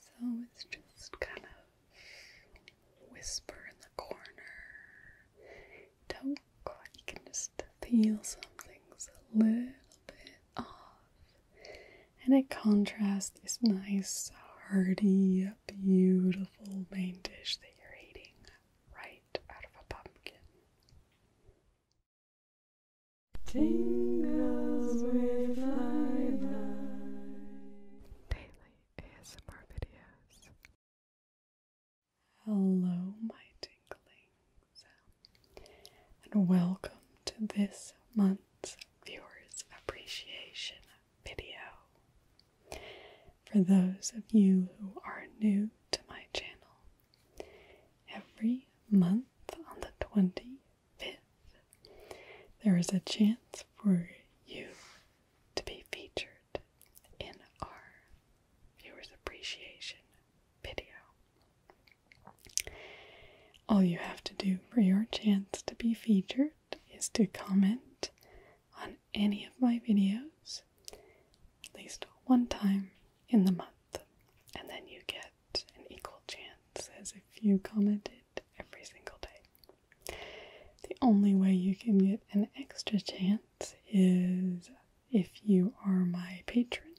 So it's just kind of whisper in the corner. Don't quite, you can just something's a little bit off. And it contrasts this nice, hearty, beautiful main dish that you're eating right out of a pumpkin. Tingles with Lilac. Daily ASMR videos. Hello, my tinglings, and welcome to this month's Viewers Appreciation video. For those of you who are new to my channel, every month on the 20 25th, there is a chance for you to be featured in our viewers' appreciation video. All you have to do for your chance to be featured is to comment on any of my videos at least one time in the month, and then you get an equal chance as if you commented every single day. The only way you can get an extra chance is if you are my patron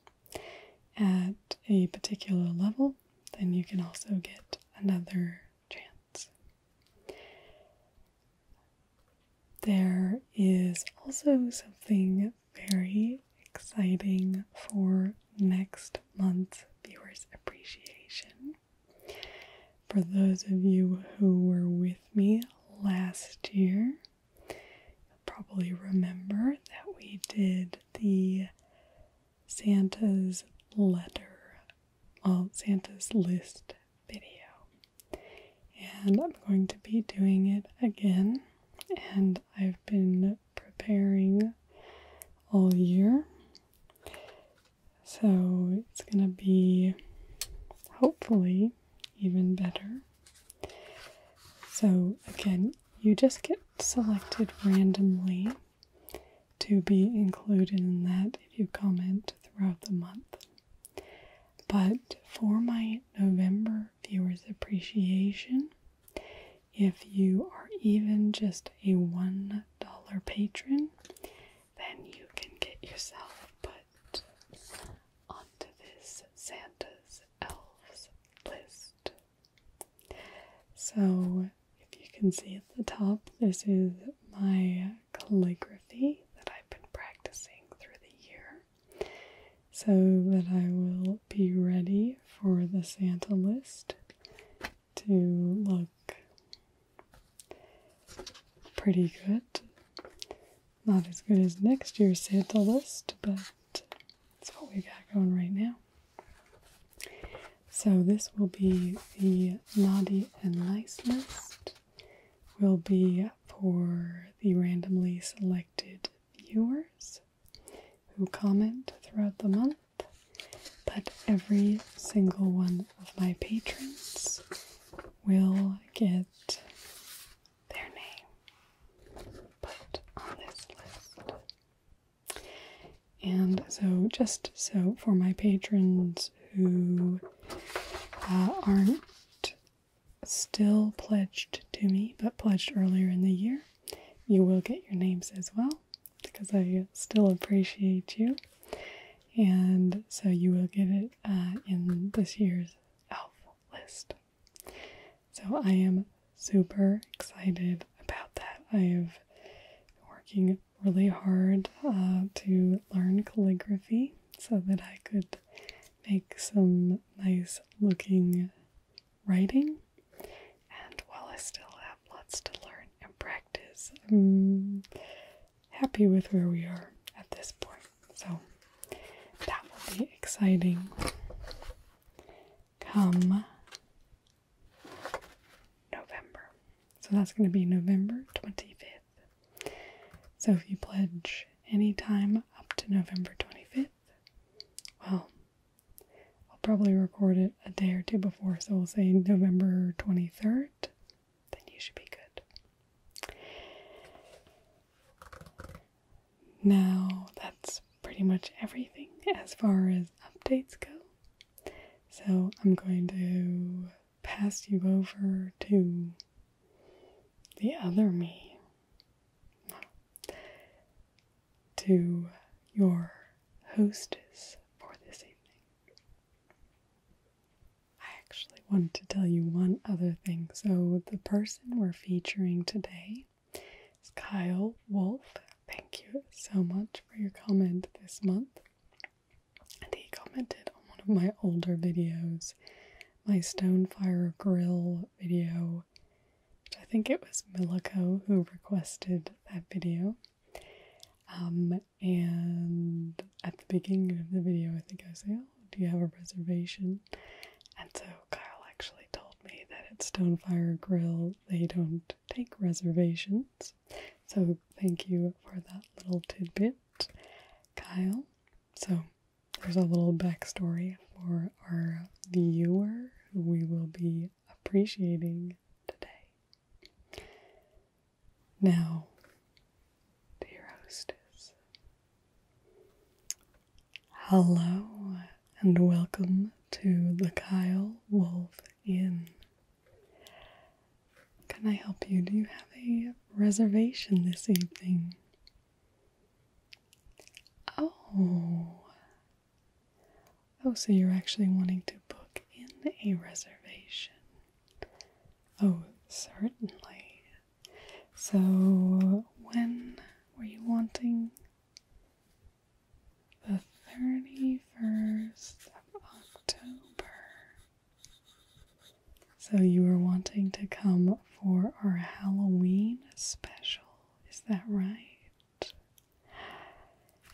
at a particular level, then you can also get another chance. There is also something very exciting for next month's viewers' appreciation. For those of you who were with me last year, you'll probably remember that we did the Santa's letter, well, Santa's list video. And I'm going to be doing it again. And I've been preparing all year. So it's going to be hopefully even better. So, again, you just get selected randomly to be included in that if you comment throughout the month. But for my November viewers' appreciation, if you are even just a $1 patron, then you can get yourself put onto this Santa's Elves list. So, if you can see at the top, this is my calligraphy that I've been practicing through the year so that I will be ready for the Santa list to look pretty good. Not as good as next year's Santa list, but it's what we got going right now. So this will be the naughty and nice list. Will be for the randomly selected viewers who comment throughout the month, but every single one of my patrons will get their name put on this list. And so, just so for my patrons who uh, aren't still pledged to me but pledged earlier in the year, you will get your names as well because I still appreciate you. And so you will get it uh, in this year's elf list. So I am super excited about that. I have been working really hard uh, to learn calligraphy so that I could make some nice looking writing. And while I still have lots to learn and practice, I'm happy with where we are at this point. So that will be exciting. Come November. So that's going to be November 25th. So if you pledge anytime up to November 25th, well, I'll probably record it a day or two before, so we'll say November 23rd. Then you should be good. Now, that's pretty much everything as far as updates go. So, I'm going to pass you over to the other me to your hostess for this evening. I actually wanted to tell you one other thing. So, the person we're featuring today is Kyle Wolf. Thank you so much for your comment this month. And he commented on one of my older videos, my Stone Fire Grill video. I think it was Milico who requested that video. Um, and at the beginning of the video, I think I say, "Oh, do you have a reservation?" And so Kyle actually told me that at Stonefire Grill they don't take reservations. So thank you for that little tidbit, Kyle. So there's a little backstory for our viewer who we will be appreciating today. Now, dear hostess, hello and welcome to the Kyle Wolf Inn. Can I help you? Do you have a reservation this evening? Oh. Oh, so you're actually wanting to book in a reservation. Oh, certainly. So, when were you wanting? The 31st of October. So, you were wanting to come for our Halloween special. Is that right?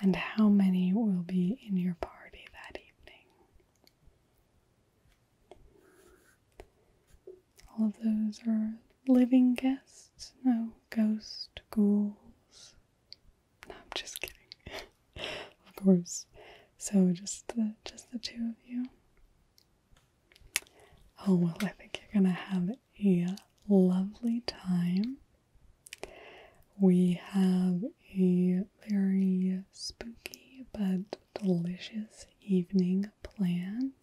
And how many will be in your party that evening? All of those are living guests? No ghost, ghouls? No, I'm just kidding. of course. So just the just the two of you. Oh, well, I think you're going to have a lovely time. We have a very spooky but delicious evening planned.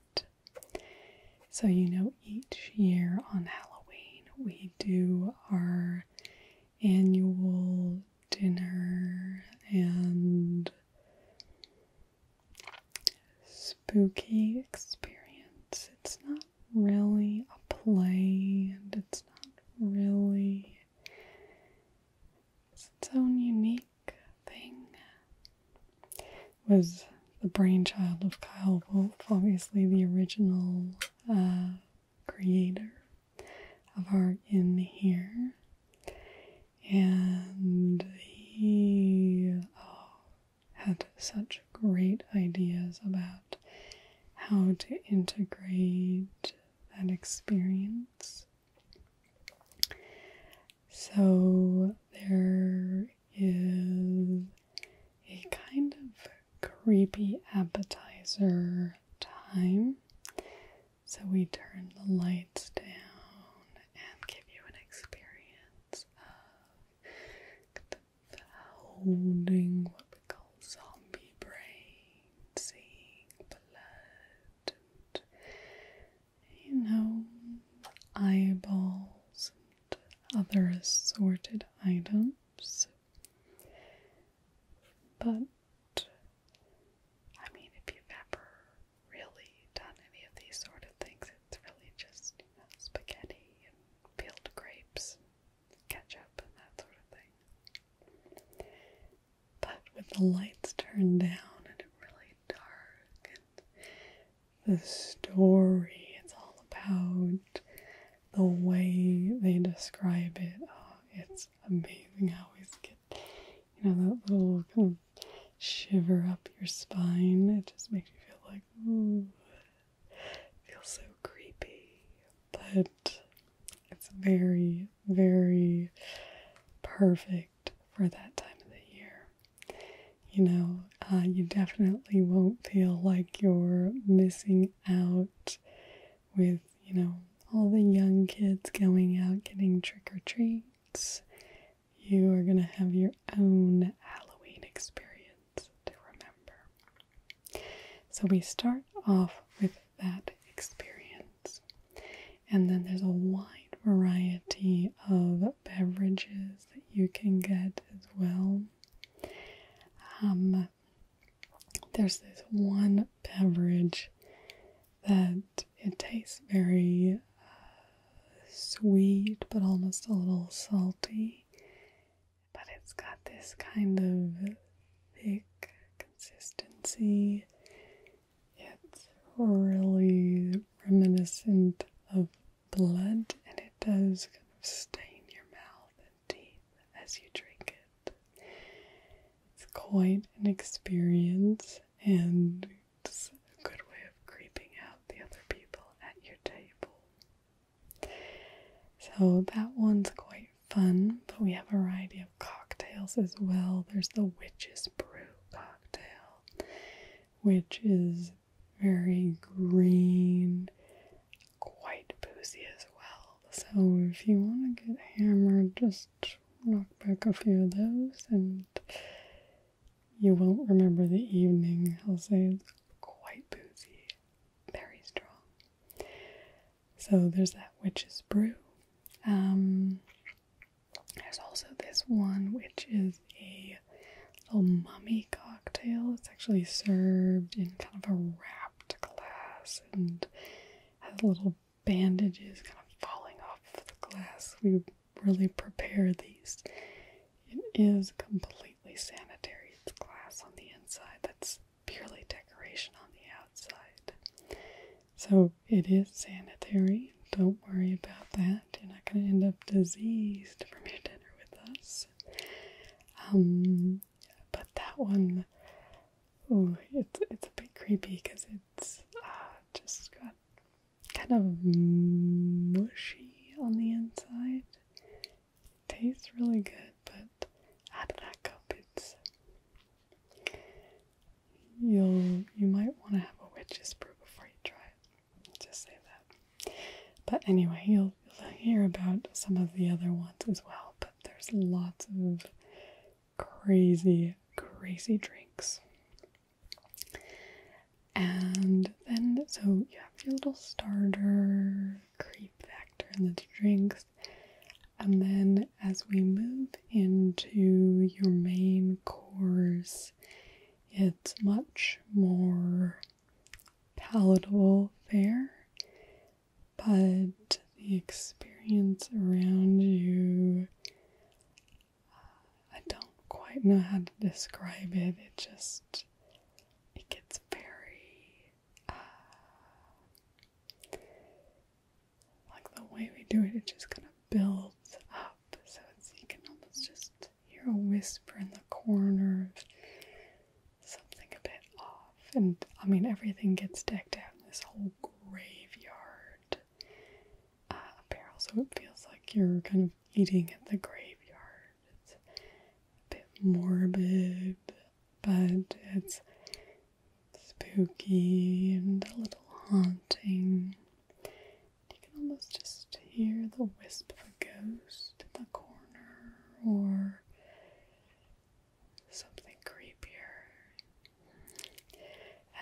So, you know, each year on Halloween, we do our annual dinner and spooky experience. It's not really a play and it's not really it's its own unique thing. It was the brainchild of Kyle Wolf, obviously the original uh, creator of our in here. And he oh, had such great ideas about how to integrate that experience. So there is a kind of creepy appetizer time. So we turn the lights down and give you an experience of holding what we call zombie brains, seeing blood you know eyeballs and other assorted items. But I mean, if you've ever really done any of these sort of things. It's really just you know, spaghetti and peeled grapes ketchup and that sort of thing. But with the lights turned down and it really dark and the story it's all about the way they describe it, oh, it's amazing how we get you know that little kind of shiver up your spine. It just makes you feel like, ooh, it feels so creepy. But it's very, very perfect for that time of the year. You know, uh, you definitely won't feel like you're missing out with, you know, all the young kids going out getting trick or treats you are going to have your own Halloween experience to remember. So we start off with that experience. And then there's a wide variety of beverages that you can get as well. Um, there's this one beverage that it tastes very uh, sweet but almost a little salty. But it's got this kind of thick consistency. It's really reminiscent of blood and it does kind of stain your mouth and teeth as you drink it. It's quite an experience and it's a good way of creeping out the other people at your table. So that one's quite fun, but we have a variety of cocktails as well. There's the Witch's Brew cocktail, which is very green, quite boozy as well. So if you want to get hammered, just knock back a few of those, and you won't remember the evening. I'll say it's quite boozy, very strong. So there's that witch's brew. Um, there's also this one which is a little mummy cocktail. It's actually served in kind of a wrapped glass and has a little bandages kind of falling off the glass. We really prepare these. It is completely sanitary. It's glass on the inside that's purely decoration on the outside. So it is sanitary. Don't worry about that. You're not going to end up diseased from your dinner with us. Um, but that one Ooh, it's it's a bit creepy because it's uh, just got kind of mushy on the inside. tastes really good, but out of that cup, it's you'll you might want to have a witch's brew before you try it. Just say that. But anyway, you'll, you'll hear about some of the other ones as well. But there's lots of crazy, crazy drinks. And then, so you have your little starter creep factor in the drinks. And then, as we move into your main course, it's much more palatable fare, but the experience around you. I don't quite know how to describe it. It just it gets very uh, like the way we do it. It just kind of builds up, so it's you can almost just hear a whisper in the corner of something a bit off. And I mean, everything gets decked out in this whole graveyard apparel, uh, so it feels like you're kind of eating at the graveyard. It's a bit morbid, but it's spooky and a little haunting. You can almost just hear the wisp of a ghost in the corner, or something creepier.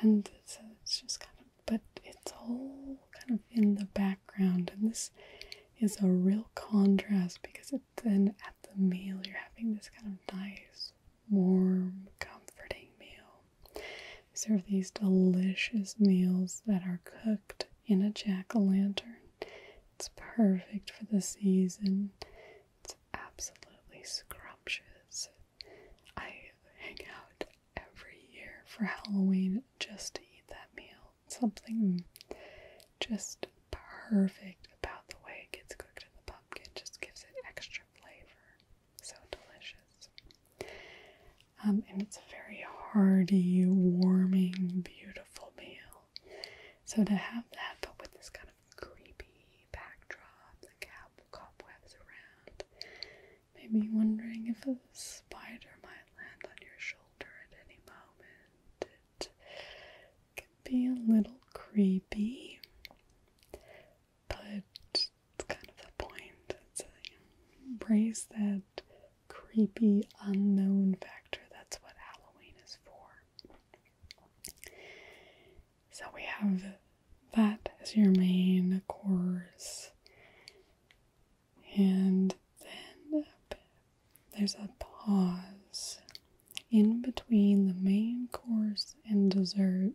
And it's just kind of, but it's all kind of in the background. And this is a real contrast because it then at the meal you're having this kind of nice, warm, comforting meal. We serve these delicious meals that are cooked in a jack o' lantern. It's perfect for the season. It's absolutely scrumptious. I hang out every year for Halloween just to eat that meal. Something just perfect about the way it gets cooked in the pumpkin just gives it extra flavor. So delicious. Um, and it's a very hearty, warming, beautiful meal. So to have that, but with this kind of creepy backdrop, the cobwebs around. Made wondering if a spider might land on your shoulder at any moment. It can be a little creepy, but it's kind of the point. It's embrace that creepy unknown factor. That's what Halloween is for. So we have that as your main course. And then there's a pause in between the main course and dessert.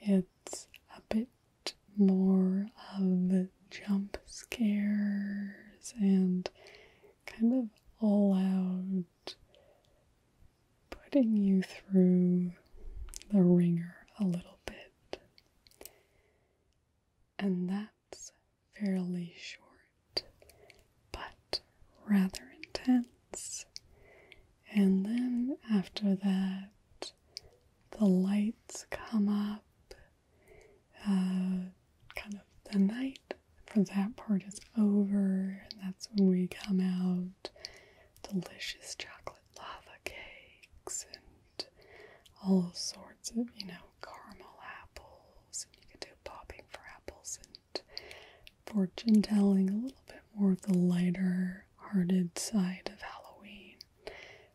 It's a bit more of jump scares and kind of all out putting you through the ringer a little bit. And that's fairly short, but rather intense. And then after that, the lights come up, uh, kind of the night for that part is over, and that's when we come out delicious chocolate lava cakes and all sorts of, you know, caramel apples, and you can do popping for apples and fortune telling, a little bit more of the lighter hearted side of Halloween.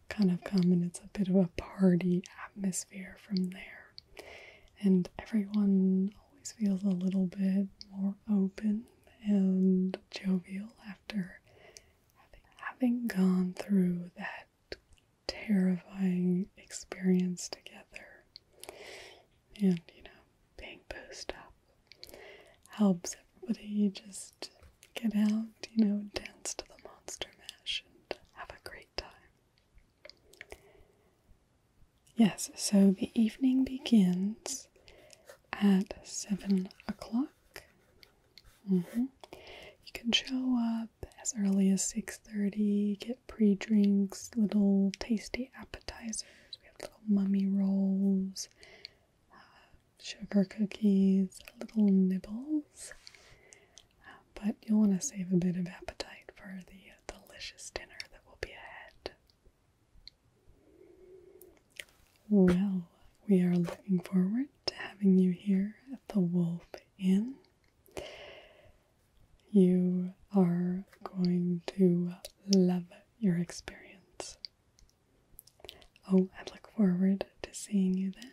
Kind of come and it's a bit of a party atmosphere from there. And everyone always feels a little bit more open and jovial after having, gone through that terrifying experience together. And, you know, being boosted up helps everybody just get out, you know, dance to the monster mash and have a great time. Yes, so the evening begins at seven o'clock. Mm-hmm. You can show up as early as six thirty. Get pre-drinks, little tasty appetizers. We have little mummy rolls, uh, sugar cookies, little nibbles but you'll want to save a bit of appetite for the uh, delicious dinner that will be ahead. Well, we are looking forward to having you here at the Wolf Inn. You are going to love your experience. Oh, I look forward to seeing you then.